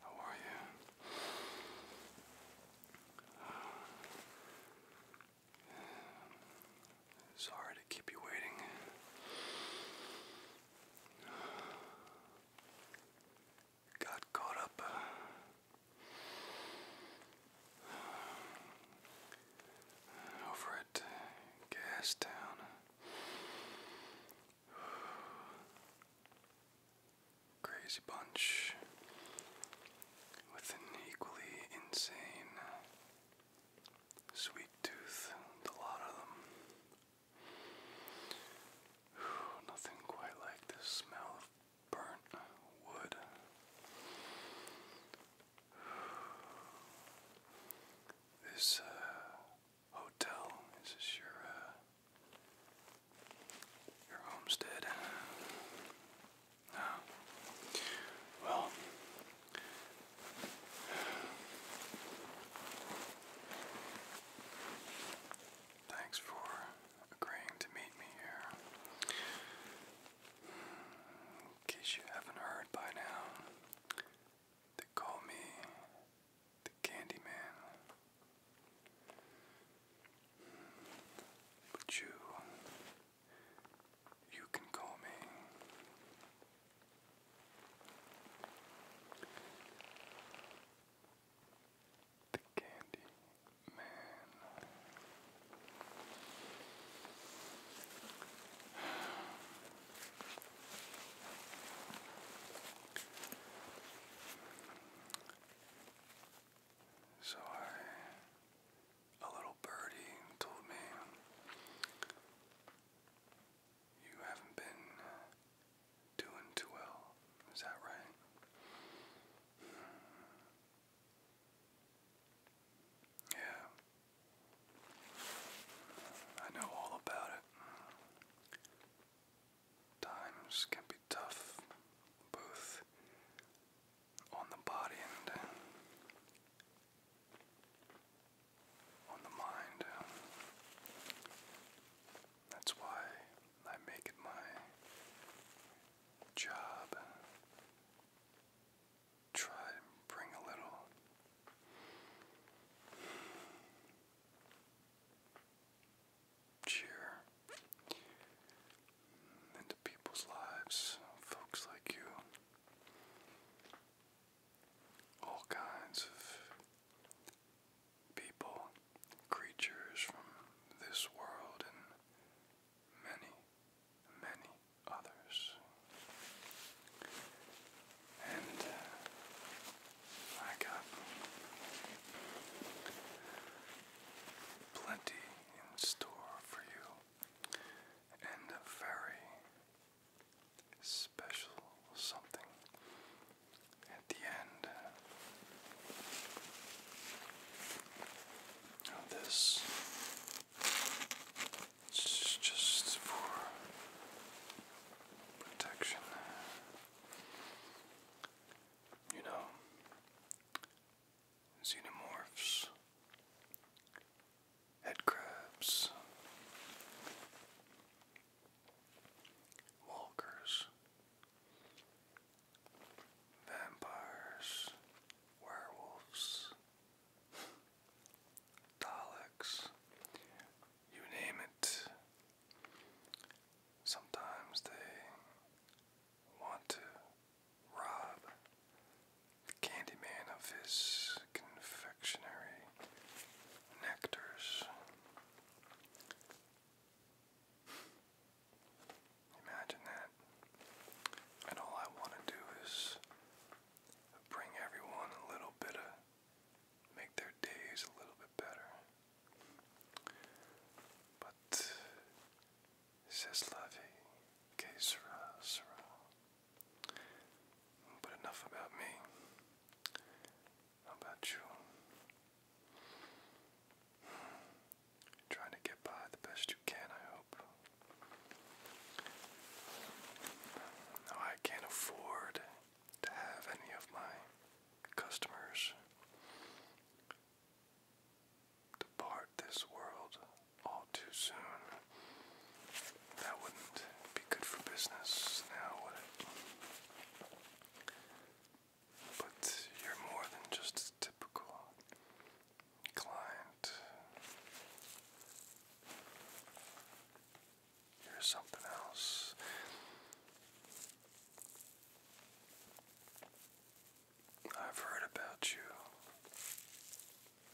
How are you? sorry to keep you waiting. got caught up. Uh, over at uh, Gastown. Crazy bunch with an equally insane sweet tooth, the lot of them. nothing quite like the smell of burnt wood. This uh, hotel. Is your uh, your homestead? No. Well, thanks for agreeing to meet me here. In case you haven't heard by now, they call me the Candyman. But you, you can call me the Candy Man. So I, a little birdie told me, you haven't been doing too well. Is that right? Yeah. I know all about it times can be tough, both on the body and on the mind. That's why I make it my job. Try and bring a little cheer into people's lives, folks like you. All kinds of people, creatures from this world, and many, many others. And uh, I got plenty in store for you and a very special something at the end this. It's just for protection you know, xenomorphs, head walkers, vampires, werewolves, Daleks, you name it, Sometimes they want to rob the Candyman of his confectionery nectars. Imagine that. And all I want to do is bring everyone a little bit of, make their days a little bit better. But says Lavi, que sera, But enough about me. How about you? Trying to get by the best you can, I hope. Now I can't afford to have any of my customers depart this world all too soon. That wouldn't be good for business now, would it? But you're more than just a typical client. You're something else. I've heard about you.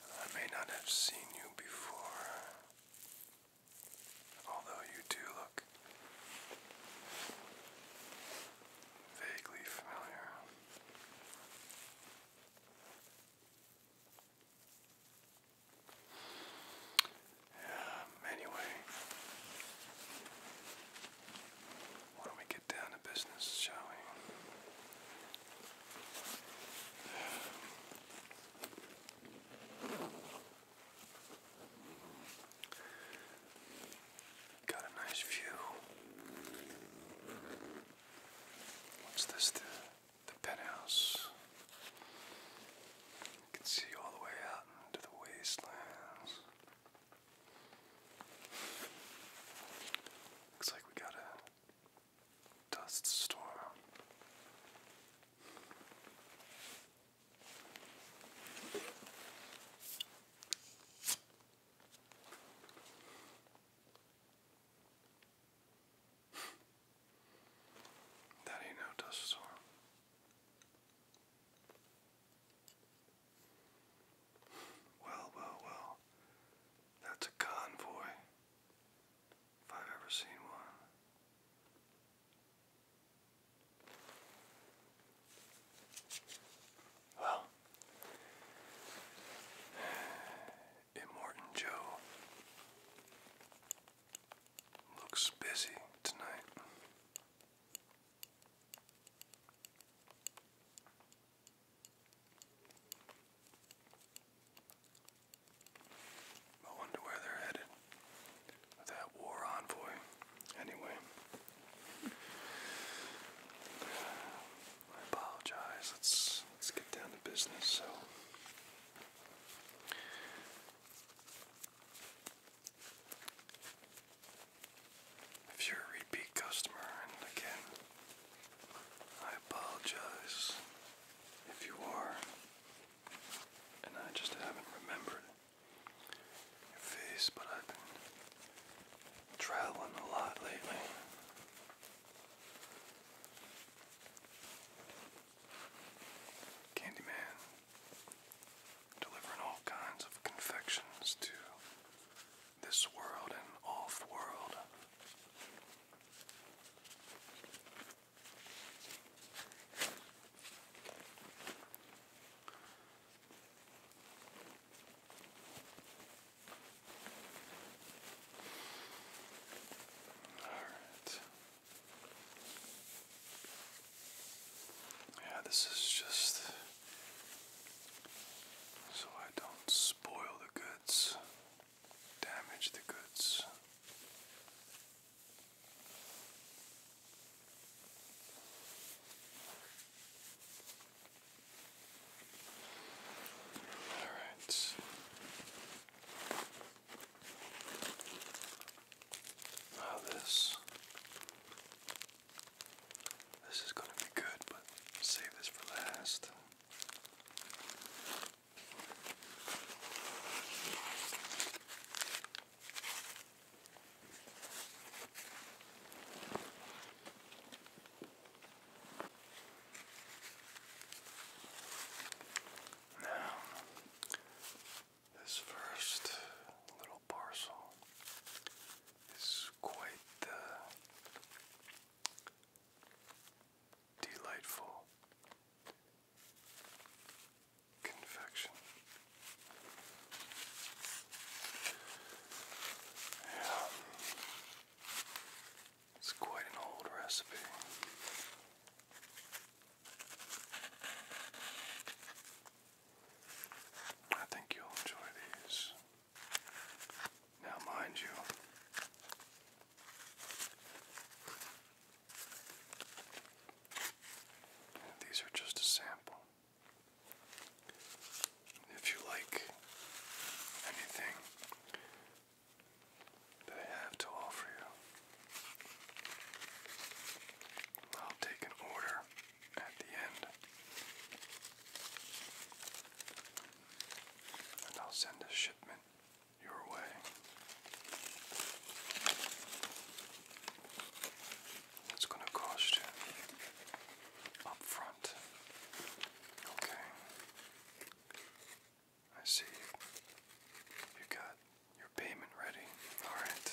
I may not have seen you before, although you do look vaguely familiar. Um, anyway, why don't we get down to business, shall we? Got a nice view. What's this? The the penthouse. You can see all the way out into the wastelands. Looks like we got a dust storm. That ain't no dust storm. Well, well, well. That's a convoy. If I've ever seen one. Well, Immortan Joe looks busy tonight. I wonder where they're headed that war envoy. Anyway, I apologize. Let's let's get down to business. So, if you're a repeat customer, and again, I apologize if you are, and I just haven't remembered your face, but I've been traveling a lot lately. Candyman delivering all kinds of confections to this world and all the world. All right. Yeah, this is just so I don't spoil the goods, damage the goods. All right. Now this this is going to be good, but save this for last. Now, this first little parcel is quite the uh, delightful confection. Yeah. It's quite an old recipe. I think you'll enjoy these. Now, mind you, these are just a sample. If you like anything that I have to offer you, I'll take an order at the end. And I'll send a shipment your way. It's going to cost you up front. Okay. I see you got your payment ready. Alright.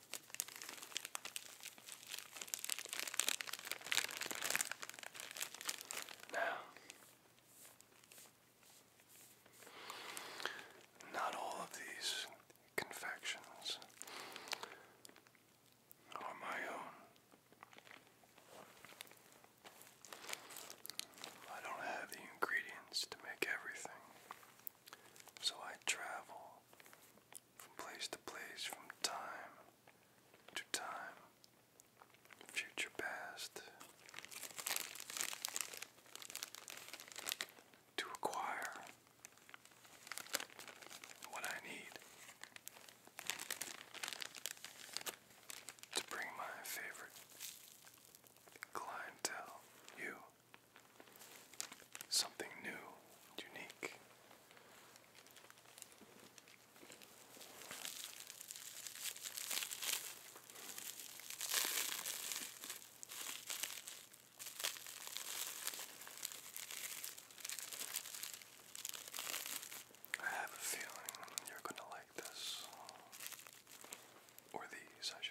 Now, not all of these confections are my own. I don't have the ingredients to make everything. So I travel from place to place, from time to time, future past, to acquire what I need to bring my favorite clientele, you something new, unique. I have a feeling you're going to like this. Or these, I should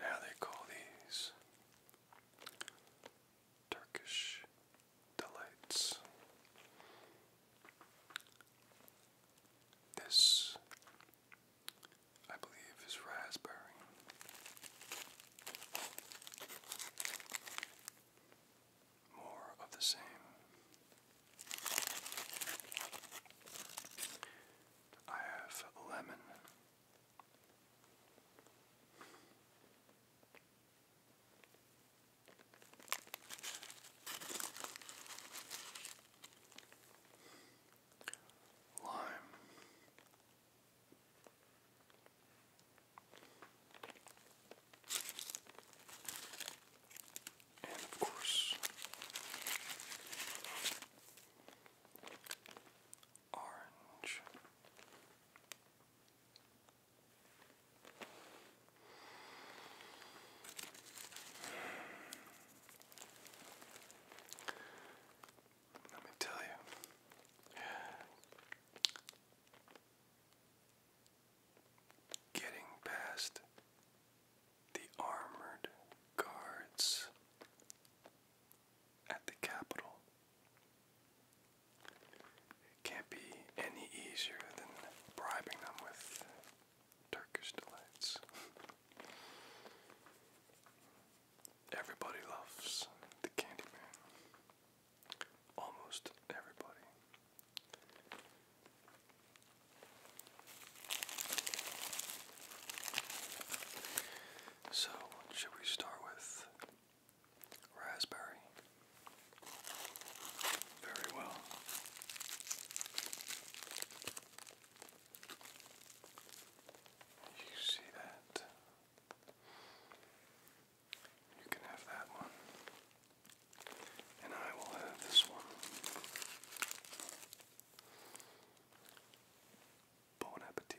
Now they call these Turkish delights. This, I believe, is raspberry. More of the same. I have lemon. Lime. And of course, orange. Let me tell you, getting past the armored guards at the Capitol it can't be any easier than bribing them with Turkish delights. Everybody loves the Candyman. Almost everybody. So, should we start with raspberry. Very well. You see that? You can have that one. And I will have this one. Bon appetit.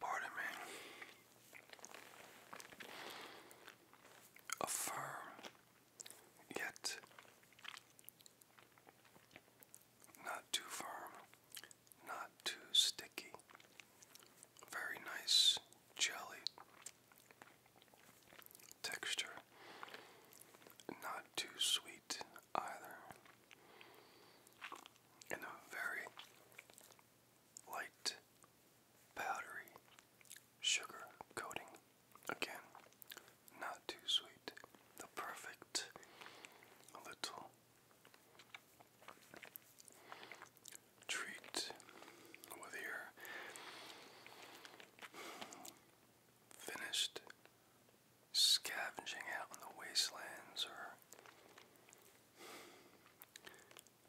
Pardon me. firm, yet not too firm not too sticky. Very nice jelly texture. Not too sweet either. And a very light powdery sugar coating. Again, not too sweet. The perfect little treat with your finished scavenging out in the wastelands or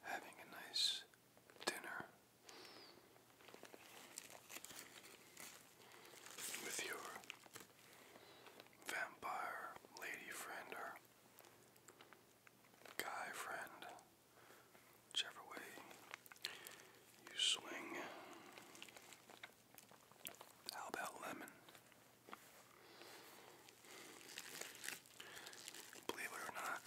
having a nice dinner with your vampire lady friend or guy friend, whichever way you swing. How about lemon? Believe it or not,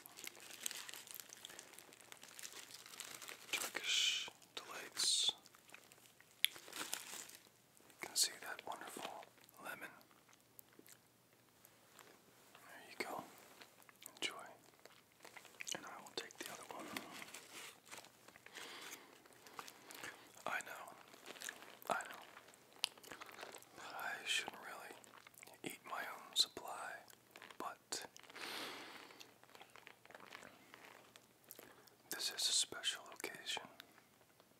Turkish delights. You can see that wonderful lemon there you go. Enjoy. And I will take the other one. I know. I know. I shouldn't really eat my own supply, but this is a special occasion.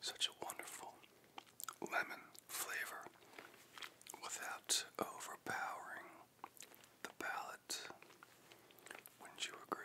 Such a wonderful lemon flavor without overpowering the palate. Wouldn't you agree?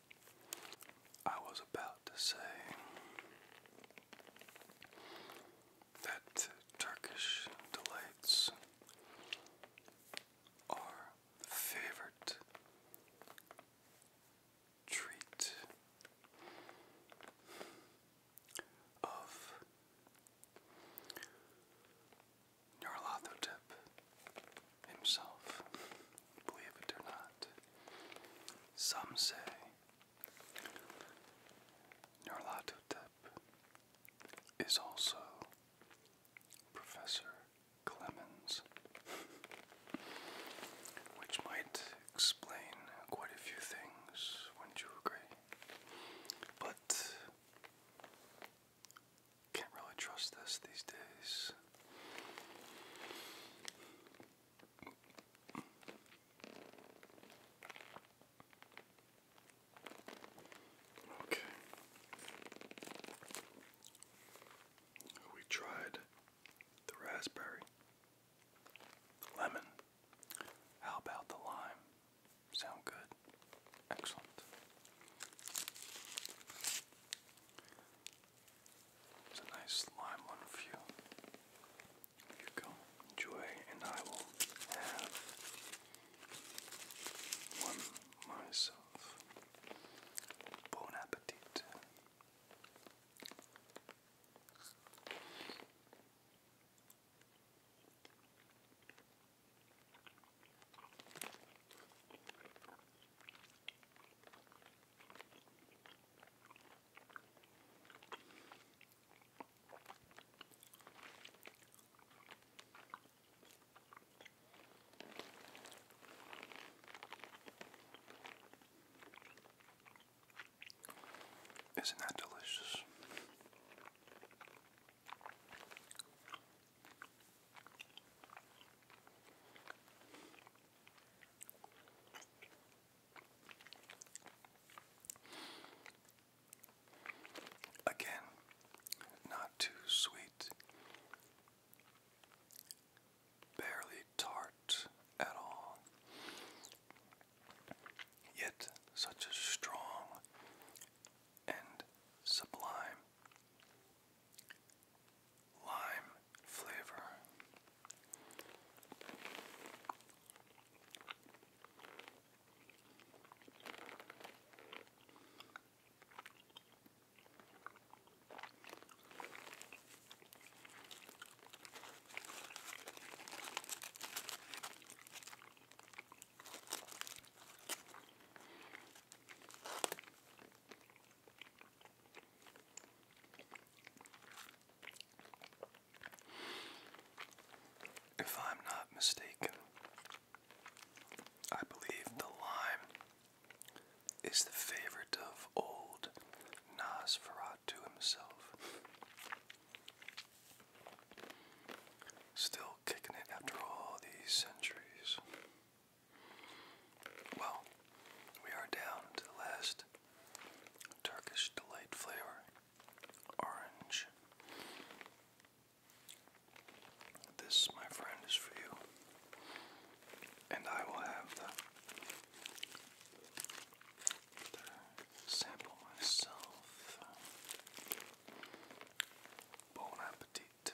I was about to say that Turkish delights are favorite treat of Nyarlathotep himself, believe it or not. Some say Nyarlathotep is also Professor Clemens, which might explain quite a few things, wouldn't you agree? But can't really trust this these days. Okay. We tried the raspberry, the lemon. How about the lime? Sound good? Excellent. It's a nice lime one for you. You go enjoy, and I will have one myself. Bon appetit. Isn't that delicious? Again, not too sweet, barely tart at all, yet such a strong and sublime lime flavor. If I'm not mistaken, I believe the lime is the favorite of old Nosferatu himself. Still kicking it after all these centuries. Well, we are down to last Turkish delight flavor, orange. This, my friend, is for you. And I will have the, the sample myself. Bon appetit.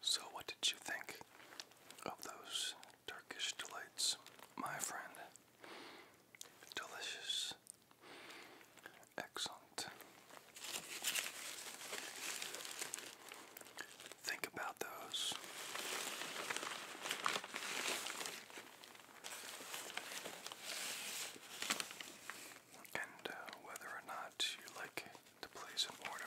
So, what did you think of those Turkish delights, my friend? Delicious. Excellent. Think about those and uh, whether or not you like to place an order.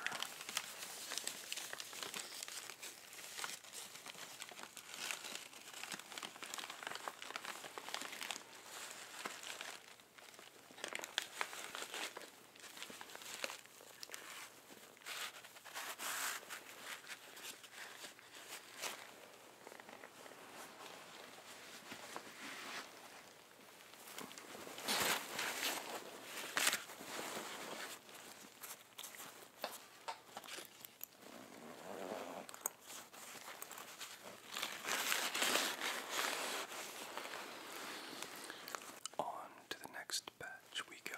On to the next batch we go.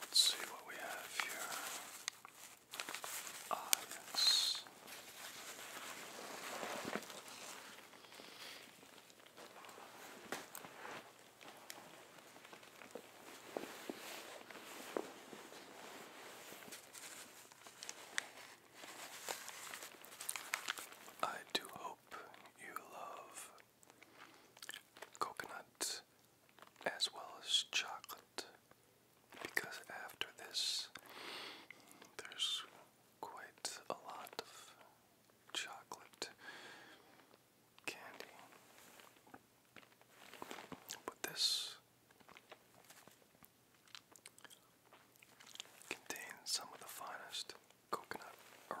Let's see what we have here. Ah, yes. I do hope you love coconut as well as chocolate because after this there's quite a lot of chocolate candy. But this Contains some of the finest coconut around.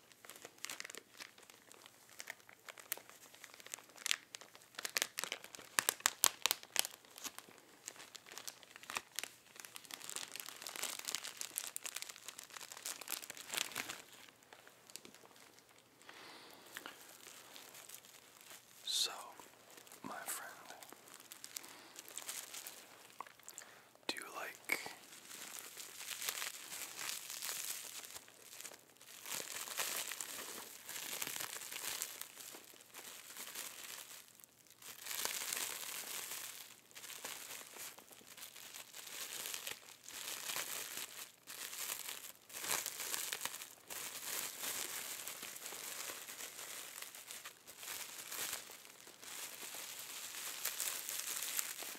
So, my friend, do you like?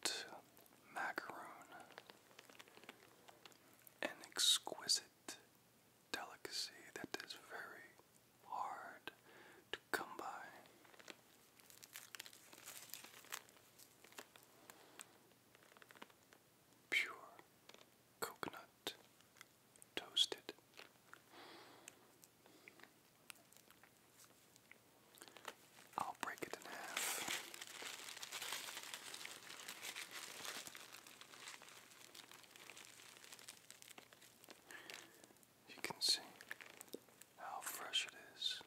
got macaroon, an exquisite delicacy that is very hard to come by. Pure coconut toasted I'll break it in half. You can see how fresh it is.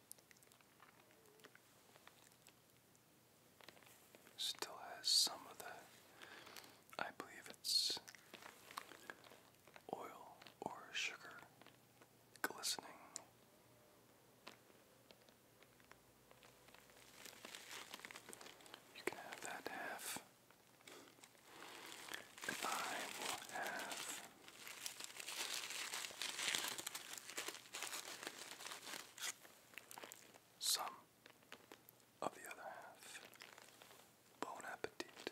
Still has some of the, I believe it's oil or sugar glistening. You can have that half. And I will have some of the other half. Bon appetit.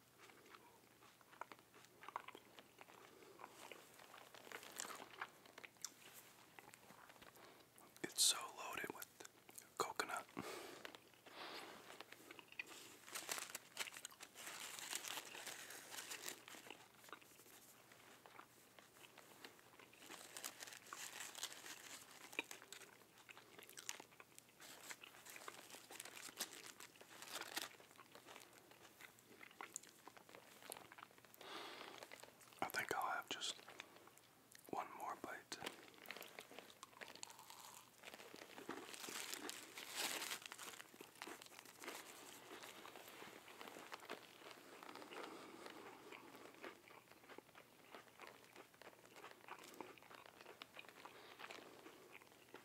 It's so loaded with coconut. I think I'll have just one more bite.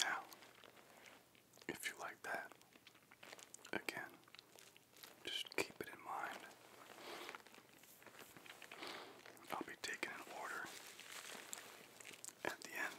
Now, if you like that, again, just keep it in mind. I'll be taking an order at the end.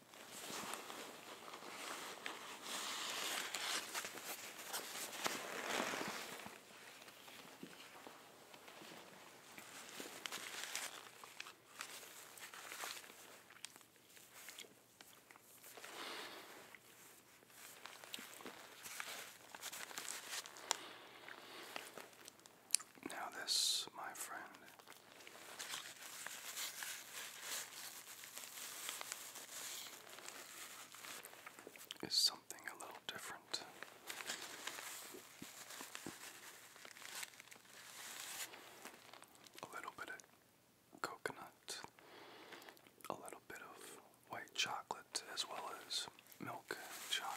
Now, this, my friend, is something a little different. A little bit of coconut, a little bit of white chocolate, as well as milk chocolate.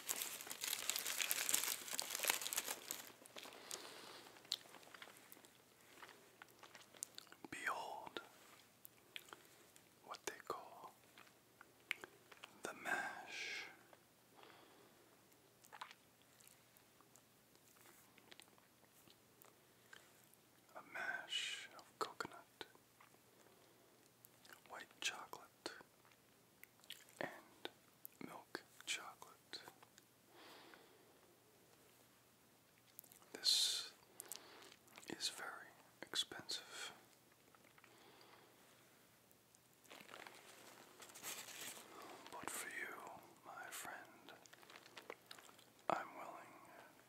Behold what they call the mash. A mash of coconut, white chocolate, and milk chocolate. This is very expensive. But for you, my friend, I'm willing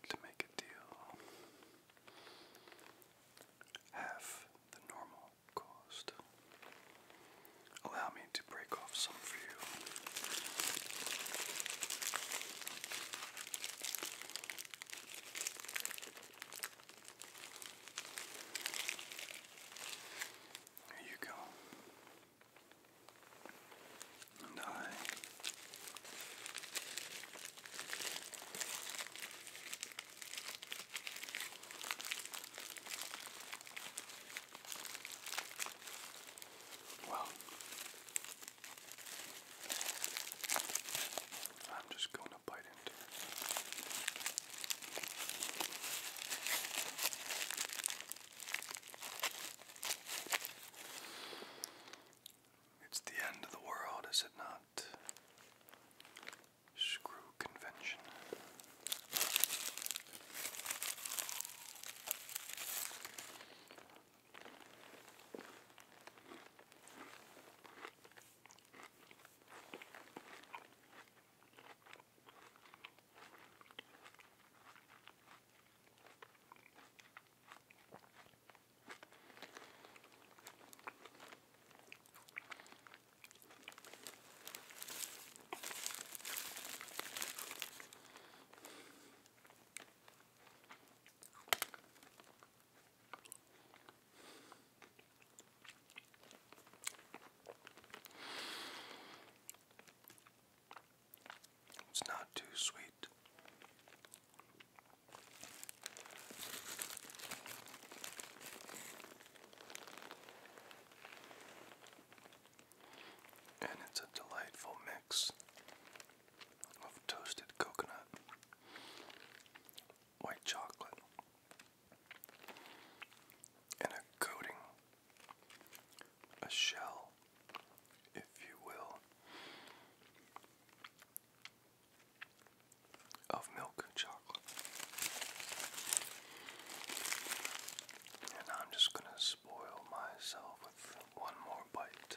to make a deal. Half the normal caused. Allow me to break off some for you. Here you go. And I well, I'm just going to bite into it. It's the end of the world, is it not? screw convention. It's not too sweet. And it's a delightful mix of toasted coconut, white chocolate, and a coating, a shell, if you will, of milk chocolate. And I'm just going to spoil myself with one more bite.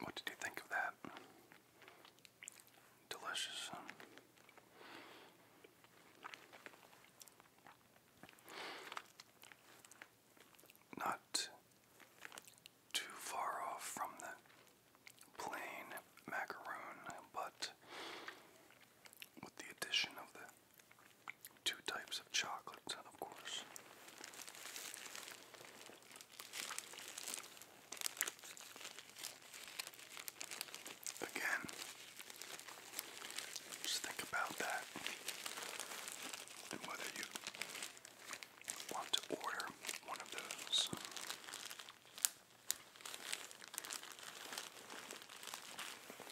What did you think of that? Delicious. Not too far off from the plain macaroon, but with the addition of the two types of chocolates, and of course, again, just think about that and whether you want to order one of those.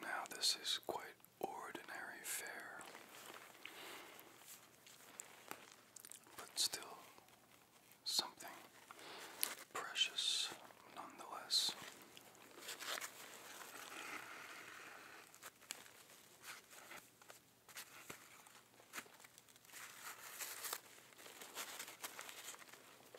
Now, this is quite ordinary fare, but still something precious nonetheless.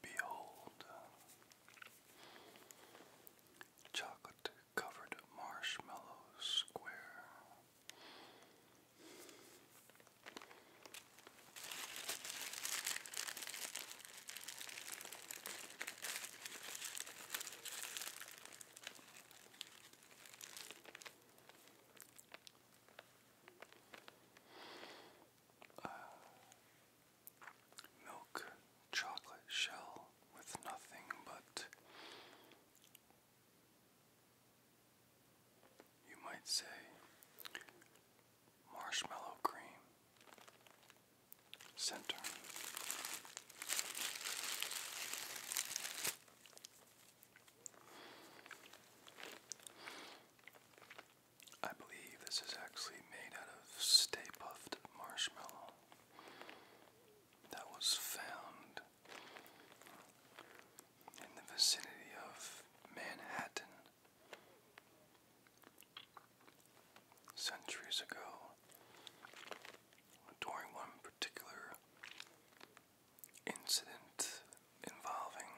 Behold, chocolate covered marshmallow square uh, milk chocolate shell with nothing but you might say marshmallow cream center. I believe this is actually made out of stay puffed marshmallow that was found in the vicinity of Manhattan. Centuries ago, during one particular incident involving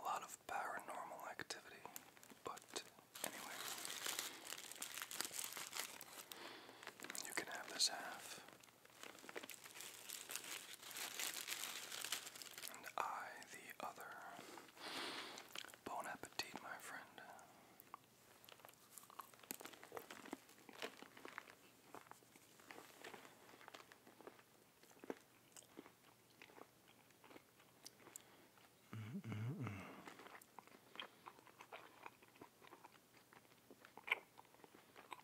a lot of paranormal activity, but anyway, you can have this half. And I, the other. Bon appetit, my friend. Mm -mm -mm.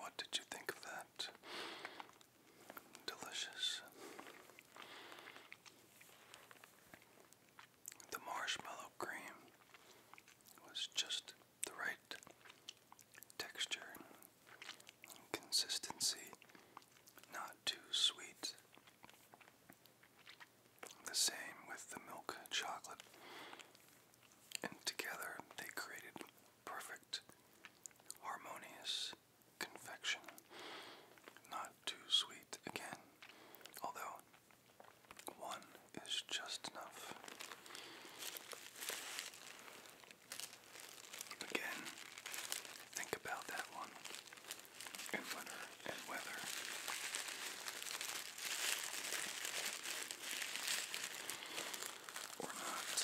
What did you think of that? Delicious. The marshmallow cream was just the right texture and consistency, not too sweet. The same with the milk chocolate. And together they created perfect, harmonious confection. Not too sweet again, although one is just enough. Again, think about that one and winter and weather. Or not.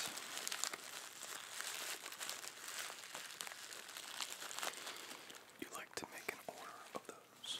You like to make an order of those.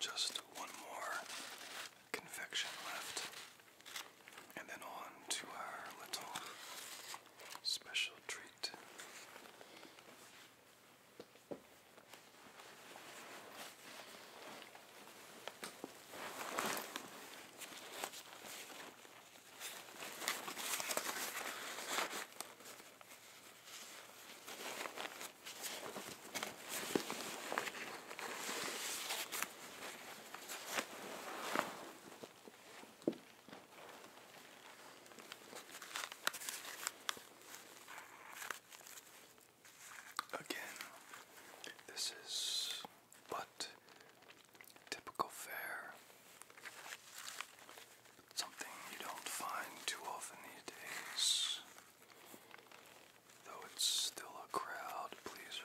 Just one more convection left, and then on to our little special treat. Again, this is but typical fare. Something you don't find too often these days. Though it's still a crowd pleaser.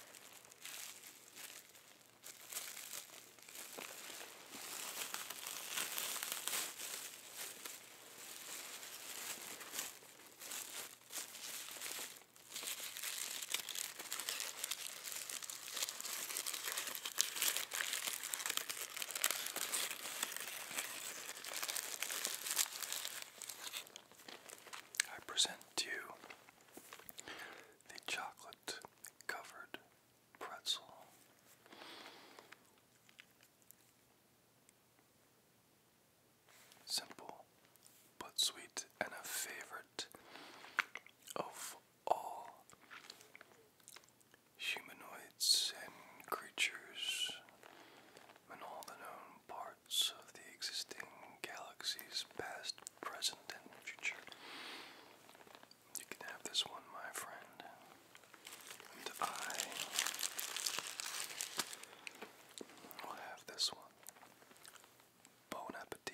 I present to the chocolate covered pretzel. Simple but sweet, and a favorite of all humanoids and creatures and all the known of the existing galaxies, past, present, and future. You can have this one, my friend. And I will have this one. Bon appetit.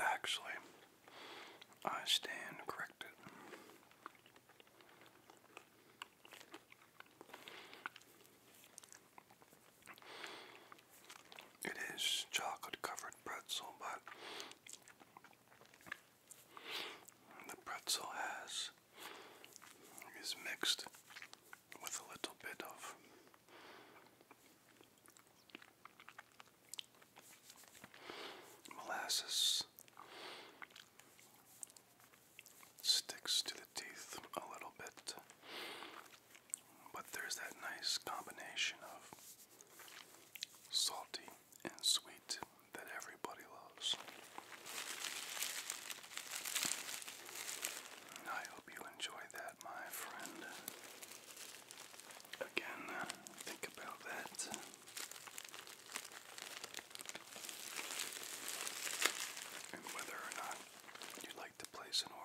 Actually, I stand corrected. It is chocolate covered pretzel, but the pretzel has is mixed with a little bit of molasses sticks to the teeth a little bit. But there's that nice combination of salty and sweet that everybody loves. I hope you enjoy that, my friend. Again, think about that and whether or not you'd like to place an order.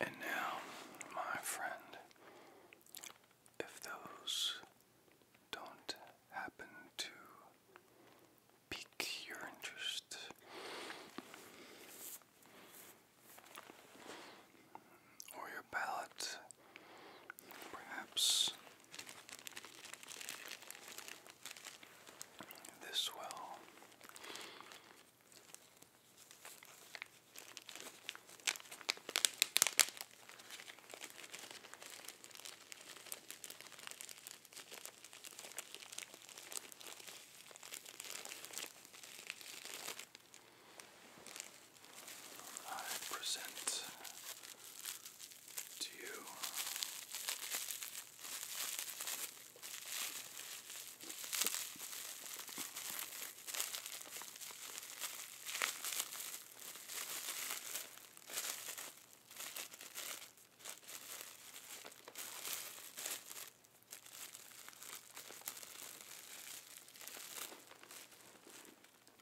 And now, my friend, if those don't happen to pique your interest, or your palate, perhaps this well. I present to you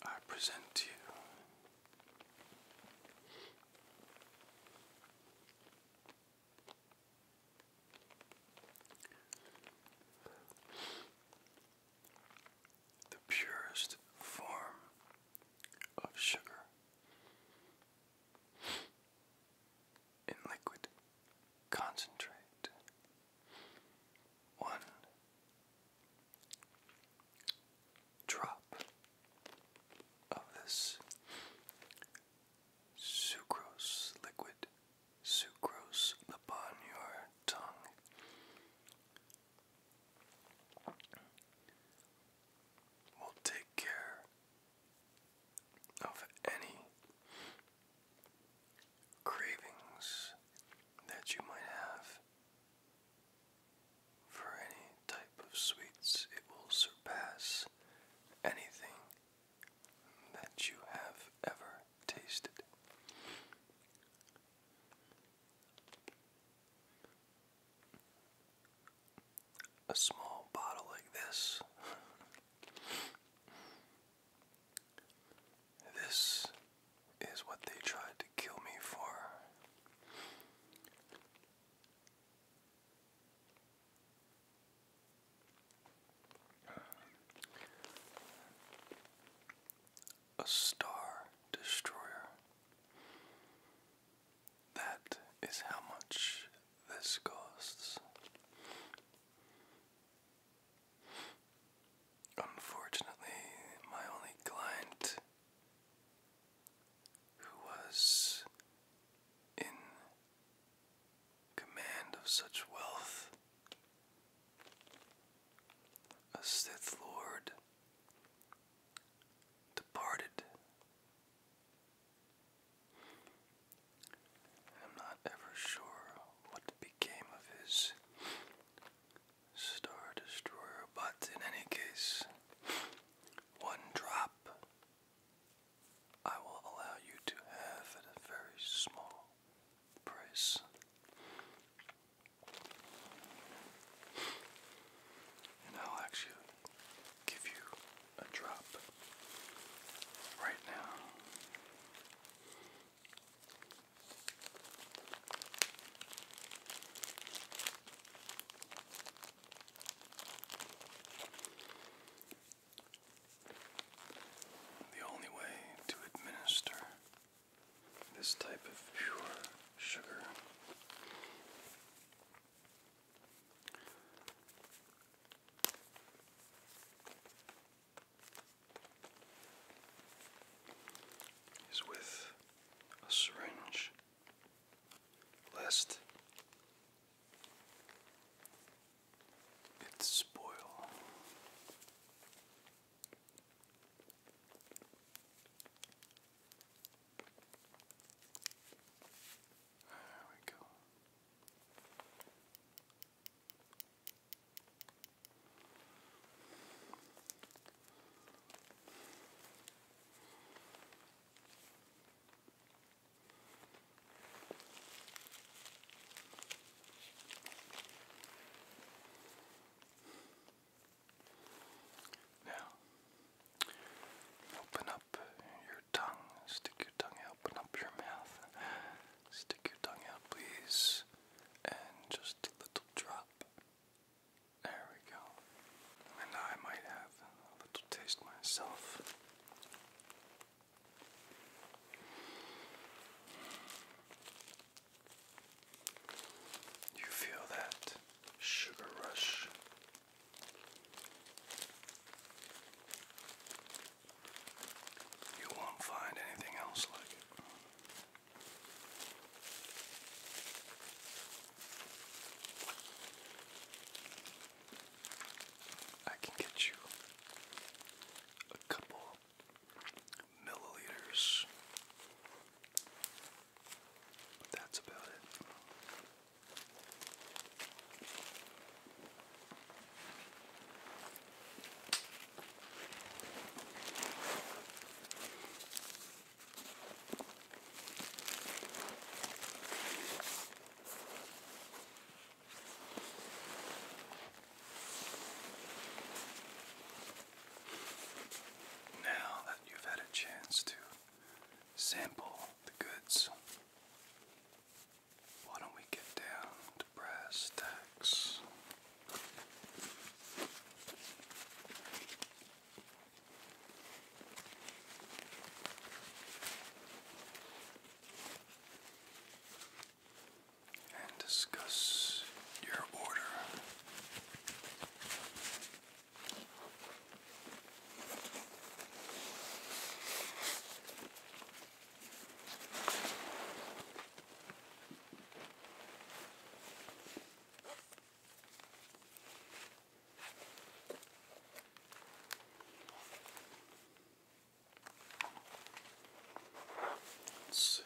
I present to you the purest form of sugar in liquid concentrate. One drop of this sucrose liquid, sucrose upon your tongue, will take care of any cravings that you might have. For any type of sweets, it will surpass anything that you have ever tasted. A small bottle like this. this is what they tried to kill me for. A star destroyer. That is how much this costs. Unfortunately, my only client who was in command of such wealth. A Sith Lord departed. I'm not ever sure what became of his Star Destroyer, but in any case, one drop I will allow you to have at a very small price. And I'll actually give you a drop right now. The only way to administer this type of pure sugar is with a syringe, lest it's spoil. There we go. Now, open up your tongue, stick your tongue out, open up your mouth, stick your tongue out, please, and just a little drop. There we go. And I might have have a little taste myself. You feel that sugar rush. You won't find anything else like it. I can get you a couple milliliters. that's about it. Now that you've had a chance to sample the goods, why don't we get down to brass tacks? and discuss your order. Let's see.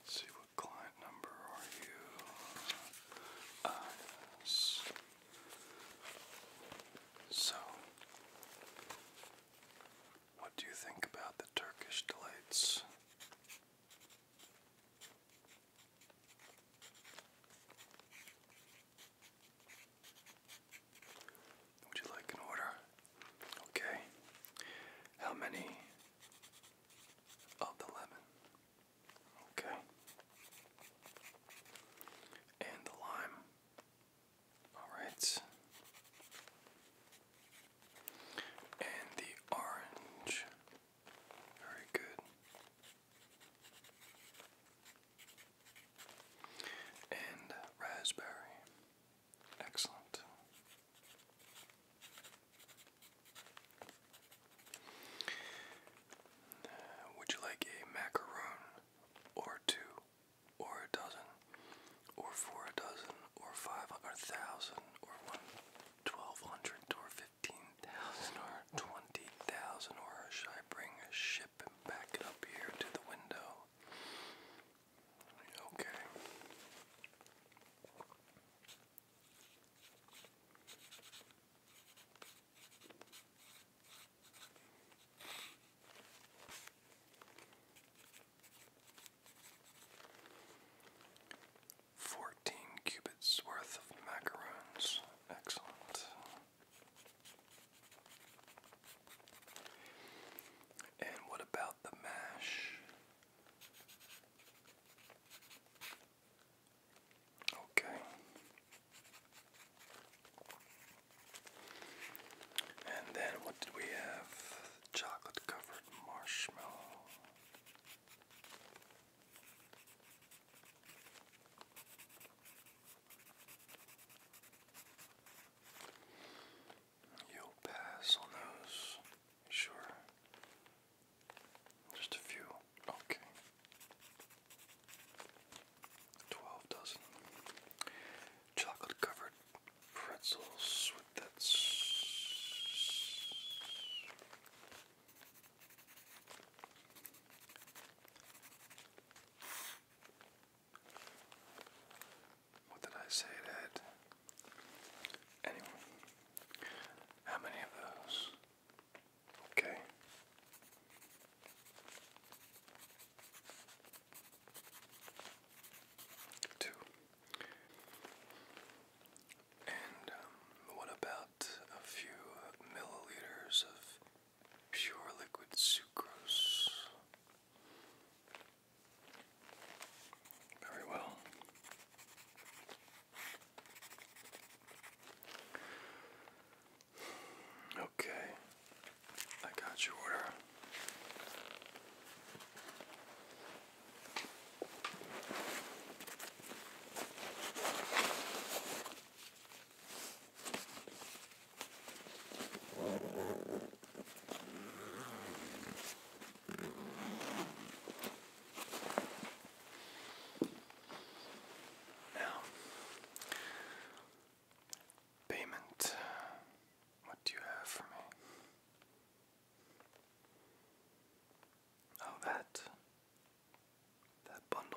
Let's see what Klein what number are you? Eyes. Uh, so, what do you think about the Turkish delights? Would you like an order? Okay. How many of the lemon? Okay. And the lime. Alright. And the orange. Very good. And raspberry. Excellent. Would you like a macaroon or two or a dozen or four a dozen or five or thousand or one twelve hundred or fifteen thousand or twenty thousand or should I bring a ship and back it up here to the window? Okay. Fourteen cubits worth of macaroons. Excellent. And what about the mash? Okay. And then what did we have? Chocolate covered marshmallow. You'll pass on those, sure. Just a few. Okay. Twelve dozen chocolate covered pretzels with that. What did I say it had? Anyway, how many of those? Okay. Two. And um, what about a few milliliters of pure liquid sucrose? Very well. Okay, I got your order. Now, payment. What do you have for me? Oh, that. That bundle.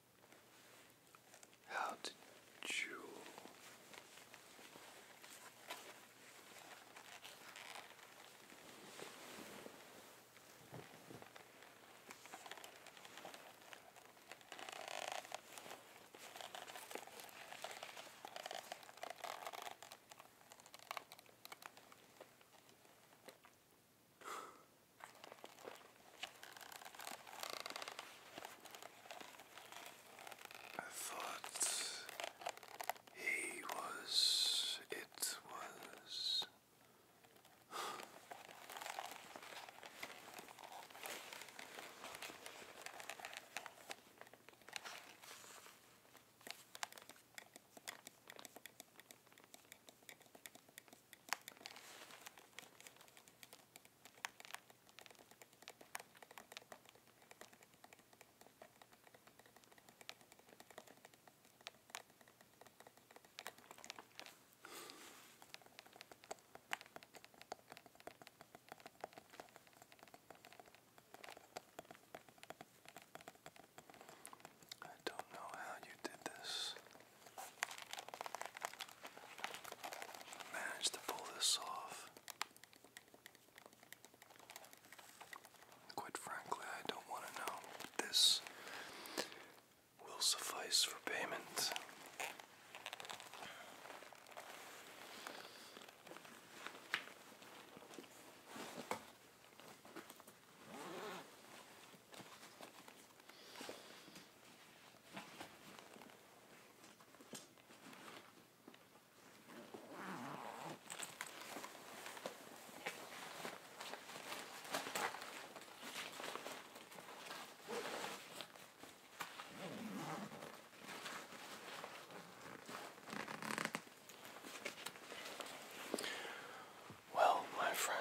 How to jewel. I thought he was, it was. I don't know how you did this. Managed to pull this off. Quite frankly, I don't want to know. This will suffice for payment. Well, my friend,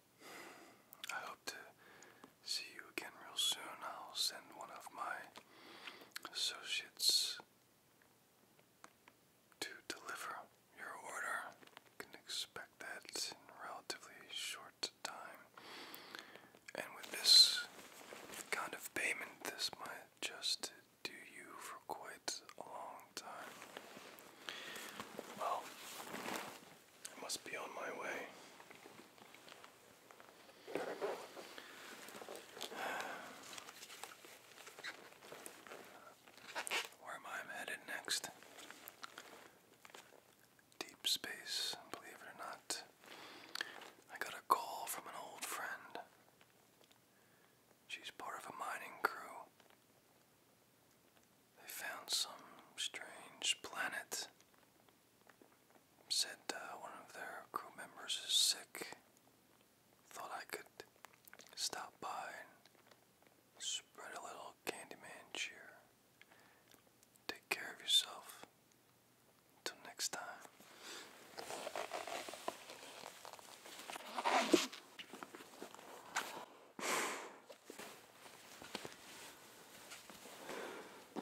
I hope to see you again real soon. I'll send one of my associates to deliver your order. You can expect that in relatively short time. And with this kind of payment, this might just do you for quite a long time. Well, I must be on my way. Where am I headed next? Deep space, believe it or not. I got a call from an old friend. She's part of a mining crew. They found some strange planet said uh, one of their crew members is sick. Thought I could stop by and spread a little Candyman cheer. Take care of yourself. Until next time.